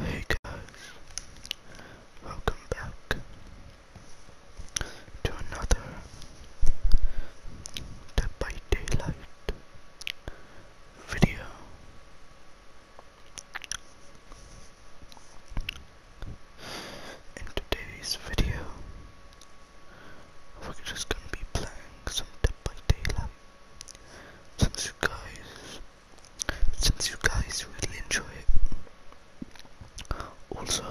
Hey guys, welcome back to another Dead by Daylight video. In today's video, we're just gonna be playing some Dead by Daylight. Since guys since you guys really enjoy it. Also,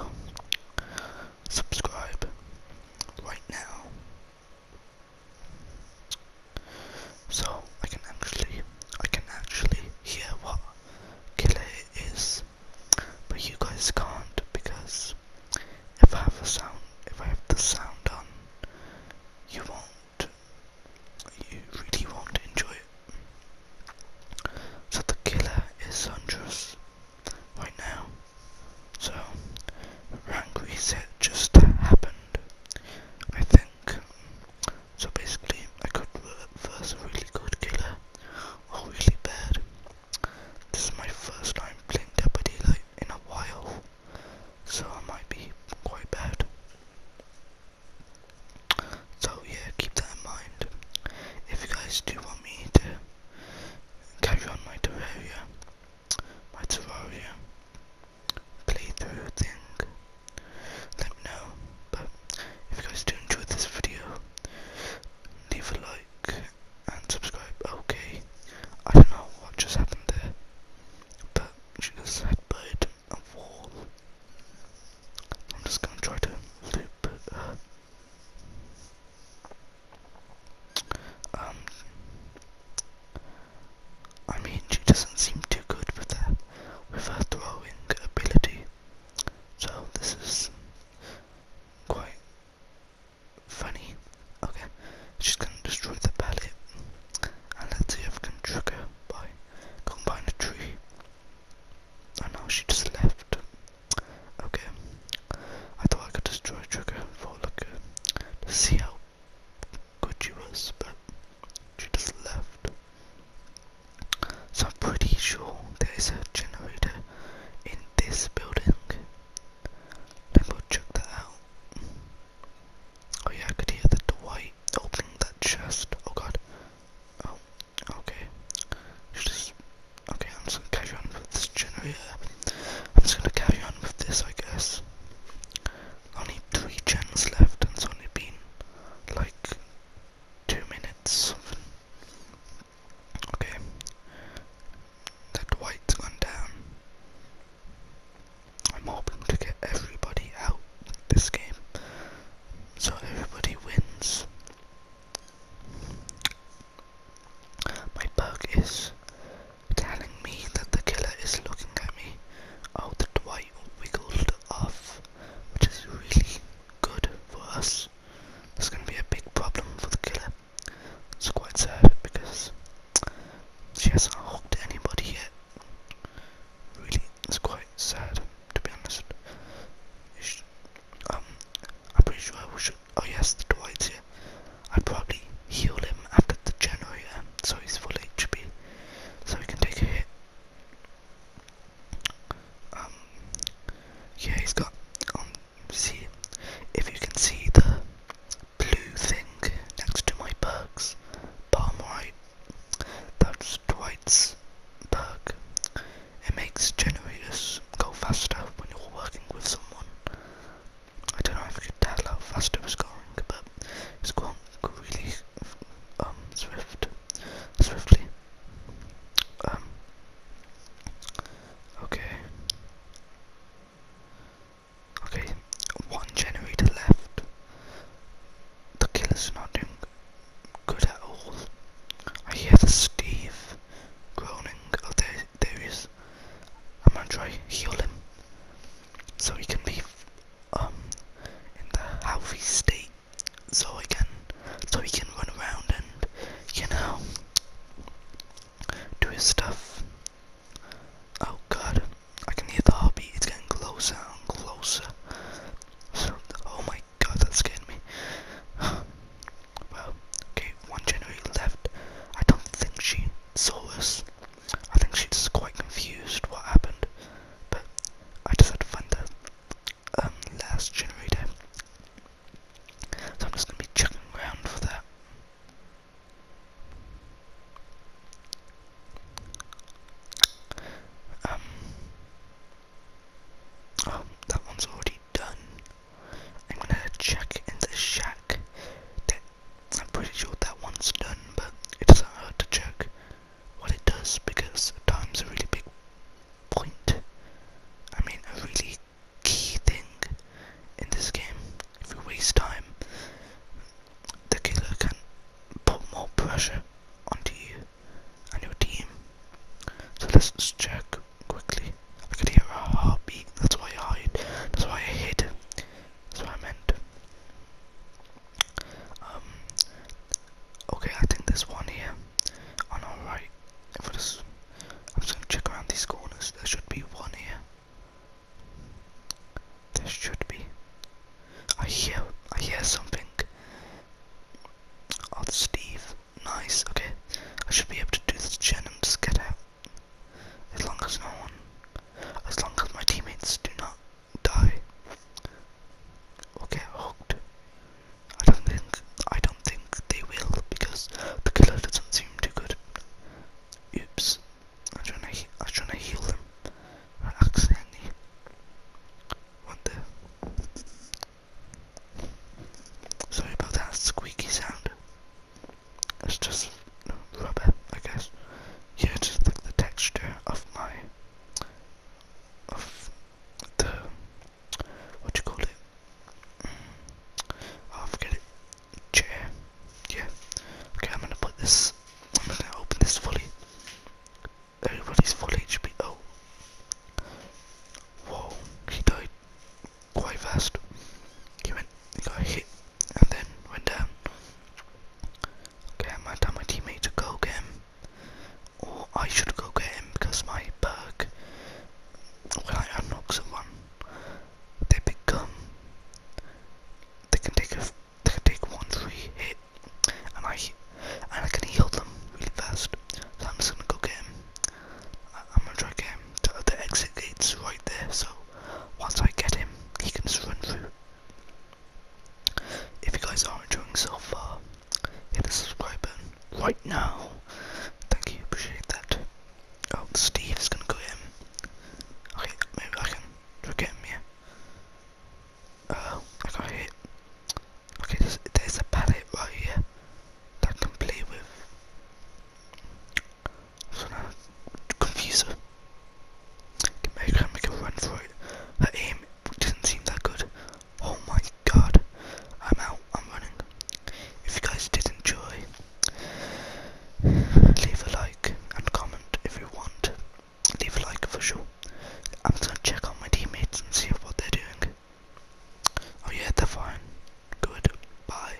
subscribe right now so I can actually I can actually hear what killer is but you guys can't because if I have a sound if I have the sound on you won't you really won't enjoy it. So the killer is Huntress right now. So rank reset just happened, I think. So basically I could reverse a really good killer or really bad. This is my first time playing Deputy like in a while so I might be quite bad. So yeah, keep that in mind. If you guys do want me to carry on my Terraria, my Terraria playthrough thing, let me know. But if you guys do enjoy this video, leave a like and subscribe. Okay, I don't know what just happened there, but she just said bird and wall. I'm just gonna try to loop uh, Um, I mean, she doesn't seem too good with her, with her throwing ability. So this is quite funny. Okay, she's gonna destroy the pallet. And let's see if I can by going behind tree. Oh no, she just left. Okay, I thought I could destroy Trigger for like uh, see how good she was, but she just left. So I'm pretty sure there is a generator in this building. Then we check that out. Oh yeah, I could hear the Dwight opening that chest. Oh god. Oh, okay. okay, I'm just gonna carry on with this generator. I'm just gonna carry on with this, I guess. Only three channels left, and it's only been like two minutes, something. Okay. That white's gone down. I'm hoping to get everybody out this game. So everybody wins. My bug is telling me that the killer is looking at me. Oh, the Dwight wiggled off, which is really good for us. This is going to be a big problem for the killer. It's quite sad because she hasn't hooked anybody yet. Really, it's quite sad to be honest. Um, I'm pretty sure I will shoot. Oh yes, the Dwight's here. i will probably heal him after the generator, so he's full HP, so he can take a hit. Um, yeah, he's got, um, see, if you can see the blue thing next to my perks, palm right, that's Dwight's perk. It makes generators go faster when you're working with someone. I don't know if you can tell how fast it was going, but it's going really um, swift, swiftly. Um, okay. Okay, one generator left. The killer's not doing good at all. I hear the Steve groaning. Oh, there, there I'm gonna try heal him so he can be um in the healthy state so I can so he can run around and you know do his stuff. Oh god, I can hear the hobby, it's getting closer and closer. Oh my god, that's scared me. well, okay, one January left. I don't think she saw us. I think she's quite confused what happened. But I just had fun to um, last generator. So I'm just going to be chucking around for that. Um, oh, that one's already done. I'm going to check in the shack. I'm pretty sure that one's done, but it does to check what it does because time's a really big point. I mean, a really key thing in this game. If you waste time, the killer can put more pressure onto you and your team. So let's check quickly. I could hear a heartbeat, that's why I hide. That's why I hid. That's why I meant. Um, okay, I think there's one here. On our right, if I I'm just gonna check around these corners. There should be one here. There should be. I hear, I hear something. Oh, it's Steve. Nice. Okay, I should be able to do this gen and just get out. As long as no one, as long as my teammates do not die okay hooked I don't think I don't think they will because the killer doesn't seem too good oops I'm trying to I'm trying to heal them I accidentally went there sorry about that squeaky sound it's just rubber I guess yeah, just like the texture of my, of the, what you call it? Mm. Oh, forget it. Chair. Yeah. Okay, I'm gonna put this, I'm gonna open this fully. Everybody's full HP. Oh. Whoa, he died quite fast. He went, got hit, and then went down. Okay, I might tell my teammate to go get him. Or I should go get him because my perk, when I unlock someone, they become, they can take a, they can take one three hit, and I, and I can heal them really fast. So I'm just gonna go get him. I'm gonna try to get him. the exit gate's right there, so once I get him, he can just run through. If you guys are enjoying so far, hit the subscribe button right now. Thank you, appreciate that. Oh, Steve's gonna go in. Okay, maybe I can get him, here. Oh, uh, I got hit. Okay, there's, a pallet right here that I can play with from a confuser. Can make her make a run for it. Her aim didn't seem that good. Oh my god. I'm out. I'm running. If you guys did enjoy, leave a like and comment if you want. Leave a like for sure. I'm just gonna check on my teammates and see what they're doing. Oh yeah, they're fine. Good. Bye.